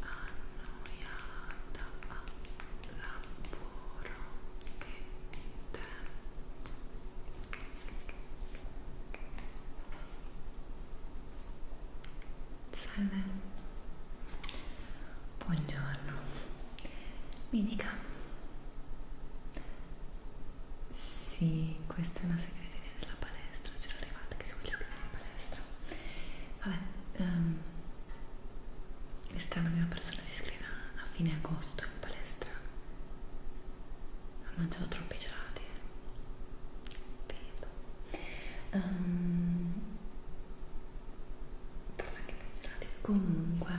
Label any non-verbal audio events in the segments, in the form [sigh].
annoiata al lavoro e te salve buongiorno mi dica sì, questa è una segreteria della palestra, c'era arrivata che si vuole iscrivere in palestra. Vabbè, um, è strano che una persona si iscriva a fine agosto in palestra. Ha mangiato troppi gelati. Vedo. Eh. Um, ehm, forse anche più gelati. Comunque,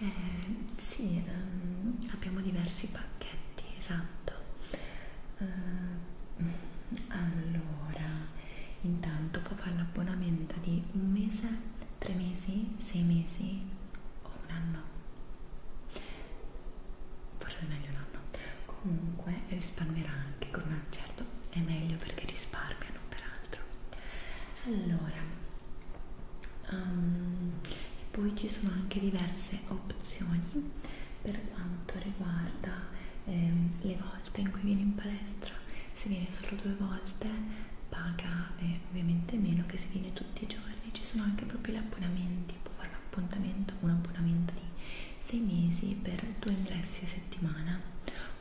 eh, sì, um, abbiamo diversi pacchi pacchetti, esatto. Uh, allora, intanto può fare l'abbonamento di un mese, tre mesi, sei mesi o un anno. Forse è meglio un anno. Comunque risparmierà anche con un certo, è meglio perché risparmiano peraltro. Allora, um, poi ci sono anche diverse opzioni indicazioni per quanto riguarda ehm, le volte in cui viene in palestra se viene solo due volte paga eh, ovviamente meno che se viene tutti i giorni ci sono anche proprio gli abbonamenti può fare un appuntamento un abbonamento di 6 mesi per 2 ingressi a settimana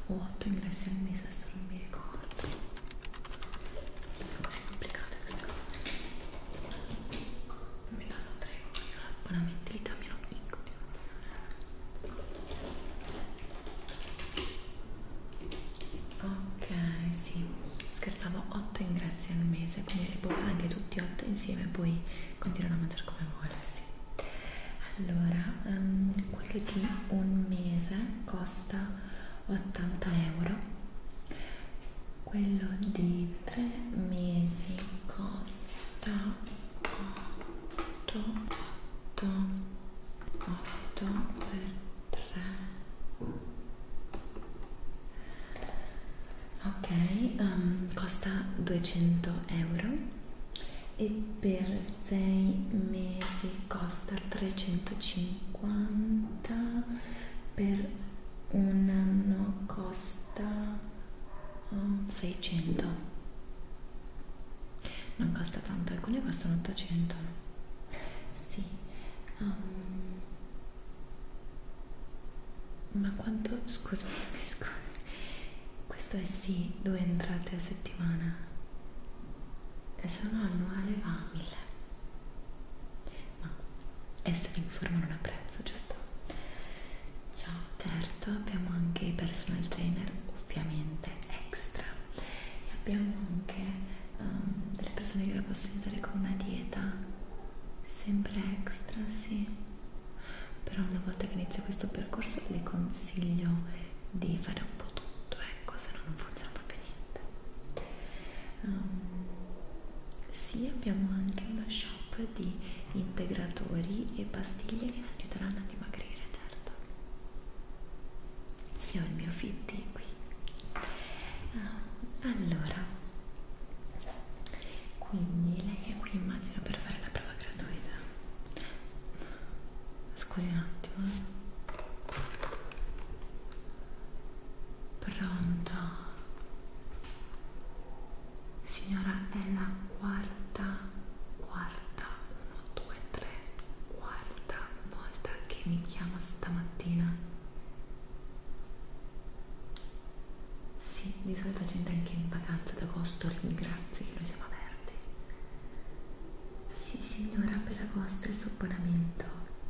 o 8 ingressi al mese adesso non mi ricordo complicate queste cose mi danno tre abbonamenti li cambiano in ok sì scherzavo 8 ingressi al mese quindi li puoi fare anche tutti 8 insieme e poi continuano a mangiare come vuole sì. allora um, ehm, quello di un mese costa 80 euro quello di tre mesi costa 8 8 8 per 3 ok um, costa 200 euro e per 6 mesi costa 350 per un anno costa 600 um, non costa tanto alcune costano 800 sì um, ma quanto scusami scusa [laughs] questo è sì due entrate a settimana e se no annuale va a 1000 ma essere in forma non ha prezzo, giusto? Ciao, certo, abbiamo anche i personal trainer, ovviamente extra, e abbiamo anche um, delle persone che la possono aiutare con una dieta, sempre extra, sì. Però una volta che inizia questo percorso le consiglio di fare un po' tutto, ecco, se no non funziona proprio niente. Um, sì, abbiamo anche uno shop di integratori e pastiglie che ti aiuteranno a dimagrire, certo. Io ho il mio fitti qui. Um, allora, quindi lei è qui immagino per fare la prova gratuita. Scusi un attimo. Eh. Pronto. Signora, è la quarta, quarta, 1, 2, 3, quarta volta che mi chiama stamattina. Sì, di solito gente anche in vacanza d'agosto ringrazi che noi siamo aperti. Sì signora, per agosto il suo abbonamento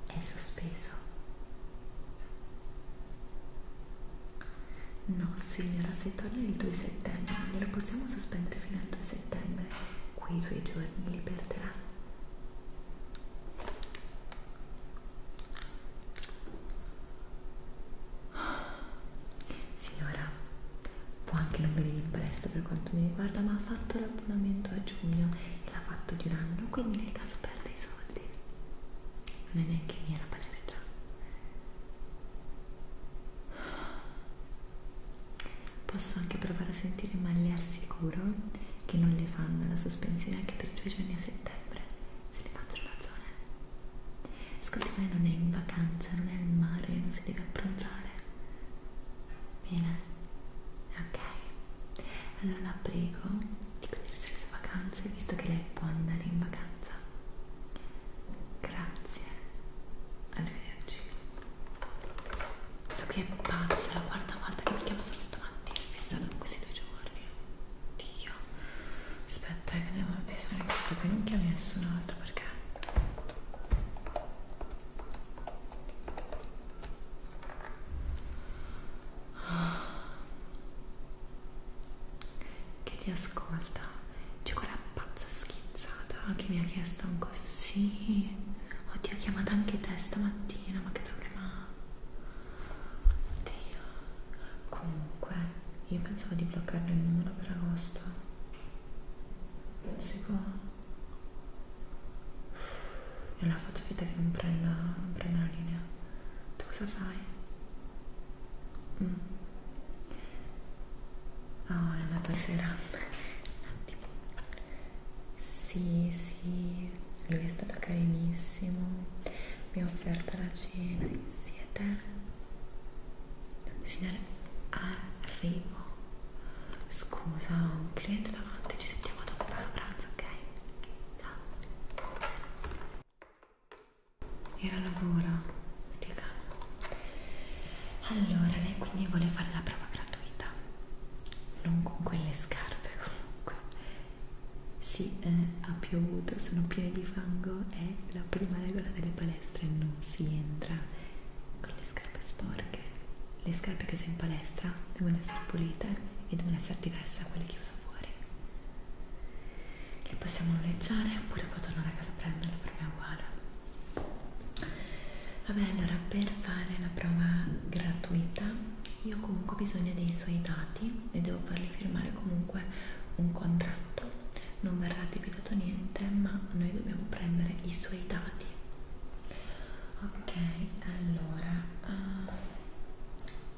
è sospeso. No signora, se torna il 2 settembre, glielo possiamo sospendere fino al 2 settembre. Quei due giorni li perderà. Signora, può anche non venire in presto per quanto mi riguarda, ma ha fatto l'abbonamento a giugno l'ha fatto di un anno quindi nel caso perde i soldi non è neanche mia la palestra posso anche provare a sentire ma le assicuro che non le fanno la sospensione anche per due giorni a settembre se ne faccio ragione Ascolti, me non è in vacanza non è al mare non si deve abbronzare bene ok? Allora la prego di godersi le sue vacanze visto che lei può andare in vacanza. Grazie, arrivederci. Questa qui è pazza, la quarta volta che mi chiama solo stamattina, è fissata con questi due giorni. Dio, aspetta eh, che devo avvisare questo qui, non chiami nessun altro perché che ti ascolta c'è quella pazza schizzata che mi ha chiesto un così oddio ho chiamato anche te stamattina ma che problema ha oddio comunque io pensavo di bloccarlo il numero per agosto non si può e allora faccio finta che non prenda, non prenda la linea. Tu cosa fai? Mm. Oh, è andata serata. Sì, sì, lui è stato carinissimo. Mi ha offerto la cena. Siete? Signore, arriva primo scusa ho un cliente davanti ci sentiamo dopo a pranzo ok ciao era lavoro stia calmo allora lei quindi vuole fare la prova gratuita non con quelle scarpe comunque sì eh, ha piovuto sono piene di fango è la prima regola delle palestre non si entra con le scarpe sporche le scarpe che uso in palestra devono essere pulite e devono essere diverse da quelle che uso fuori le possiamo noleggiare oppure poi tornare a casa a prenderle per me è uguale vabbè allora per fare la prova gratuita io comunque ho bisogno dei suoi dati e devo farli firmare comunque un contratto non verrà capitato niente ma noi dobbiamo prendere i suoi dati ok allora uh,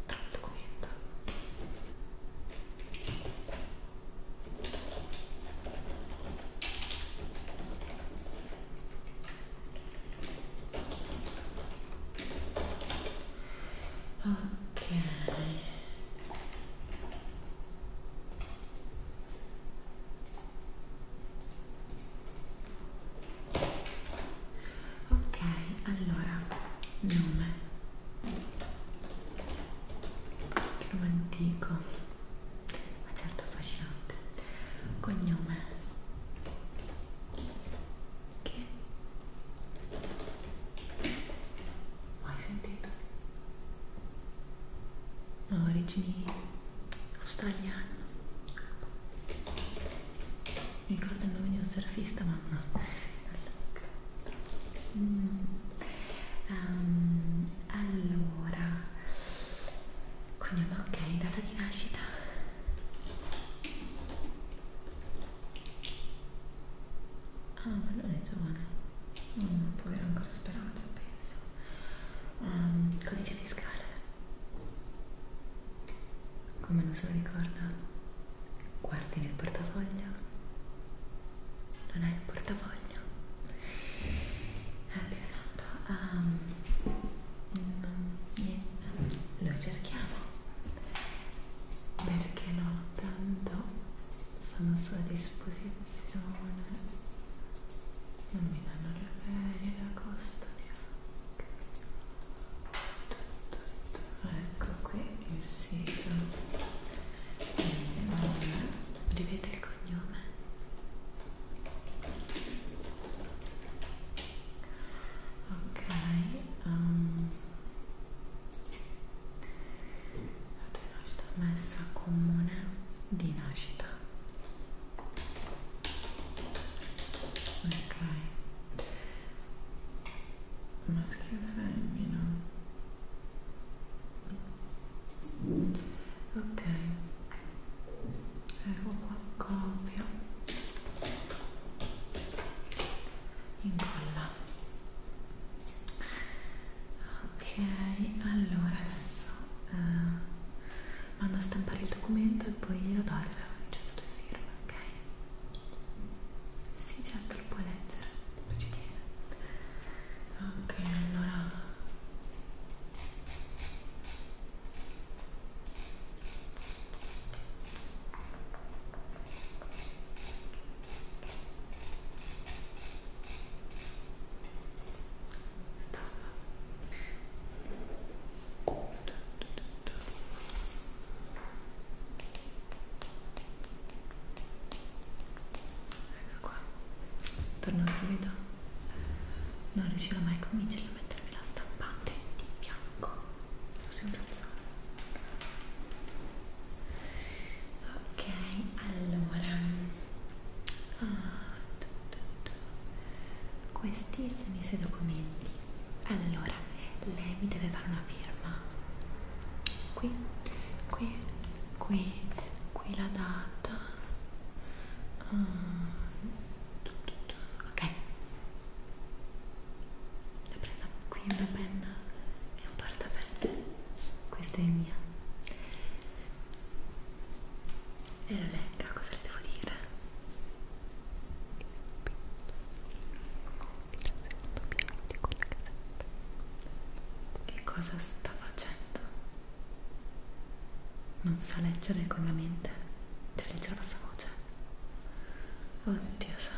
eh, trovo il documento ok Ok, allora nome che nome antico, ma certo affascinante. Cognome che mai sentito? ha origini australiane mi ricordo il nome di un surfista ma no mm. um, allora cognome ok data di nascita ah ma non è giovane non può avere ancora speranza, penso. Um, codice fiscale. Come non se lo ricorda? Guardi nel portafoglio. Non è il portafoglio. Ah, Dio santo. Um, non, niente. Lo cerchiamo. Perché no? Tanto sono a sua disposizione attenzione non mi danno le ferie d'agosto neanche ecco qui il sito il nome rivede il cognome ok um, data di nascita messa comune di nascita ok maschio e femmina ok ecco qua copio incolla ok allora adesso uh, mando a stampare il documento e poi glielo do al gesto due firme ok sì certo lo puoi leggere lo ci tiene ok allora Ecco qua, torno al solito. Non riuscirò mai a convincere a mettermi la stampante di bianco. Lo sembra ok allora ah, tu, tu, tu. questi sono i suoi documenti allora lei mi deve fare una firma qui qui qui qui la data ah, ok la prendo qui una penna e un portafoglio questa è mia e la legga cosa le devo dire? che cosa sta facendo? non sa leggere con la mente deve leggere la voce oddio santo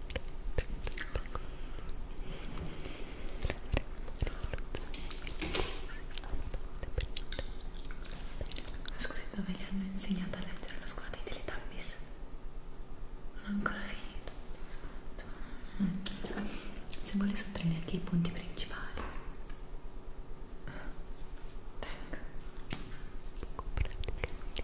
Ma scusi, dove gli hanno insegnato a leggere la scuola dei Teletubbies? Non ho ancora finito. Se vuole sottolineare anche i punti principali. Tengo. Poco pratica,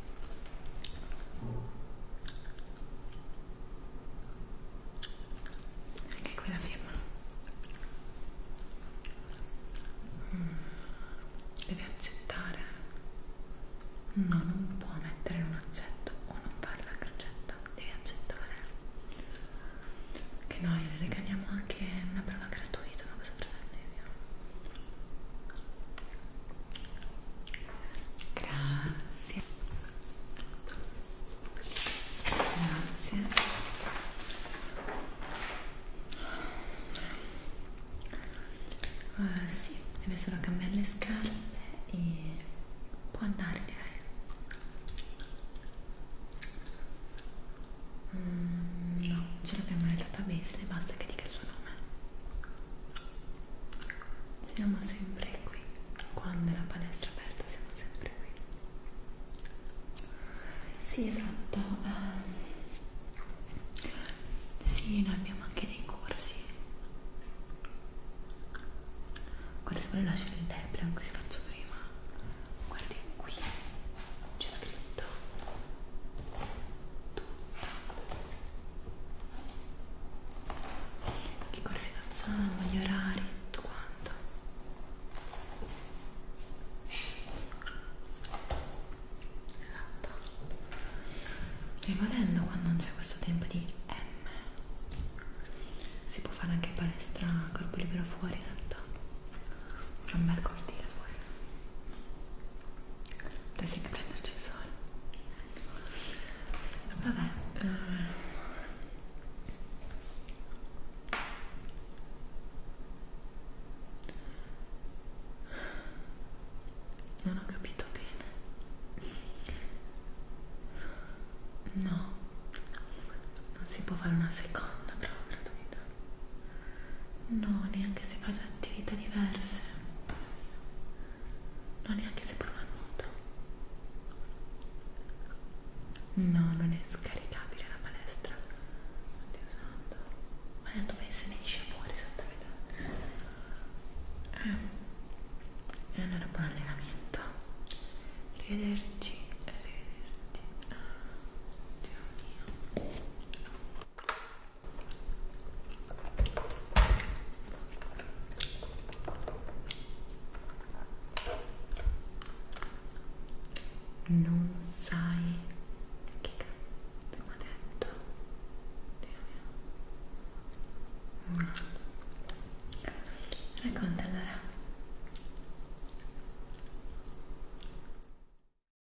anche qui la firma mm. devi accettare no non può mettere un accetto o non fare la crocetta devi accettare che noi le regaliamo anche una prova gratuita ma cosa pretendevi Grazie. Grazie. Uh, sì, deve solo cambiare le scarpe e può andare direi. Mm, no, ce l'abbiamo nel database, basta che dica il suo nome. Siamo sempre qui, quando è la palestra aperta siamo sempre qui. Sì, esatto. Um, sì, noi abbiamo anche dei corsi. Guarda, se vuole lasciare il debre, così faccio prima. Guardi qui, c'è scritto tutto i corsi d'azione, gli orari, tutto quanto esatto e volendo quando non c'è questo tempo di M si può fare anche palestra corpo libero fuori esatto c'è un bel cortile fuori Potessi anche prenderci il sole. Vabbè. Eh. Non ho capito bene. No, non si può fare una seconda prova gratuita. No, neanche se faccio attività diverse. No, neanche se provo a nuoto. No, non è scaricabile la palestra. Oddio santo. Ma è dove se ne esce fuori santa metà. Eh. E allora buon allenamento. Arrivederci. Arrivederci. Dio mio. Non sai che cazzo mi ha detto? No. Racconta allora.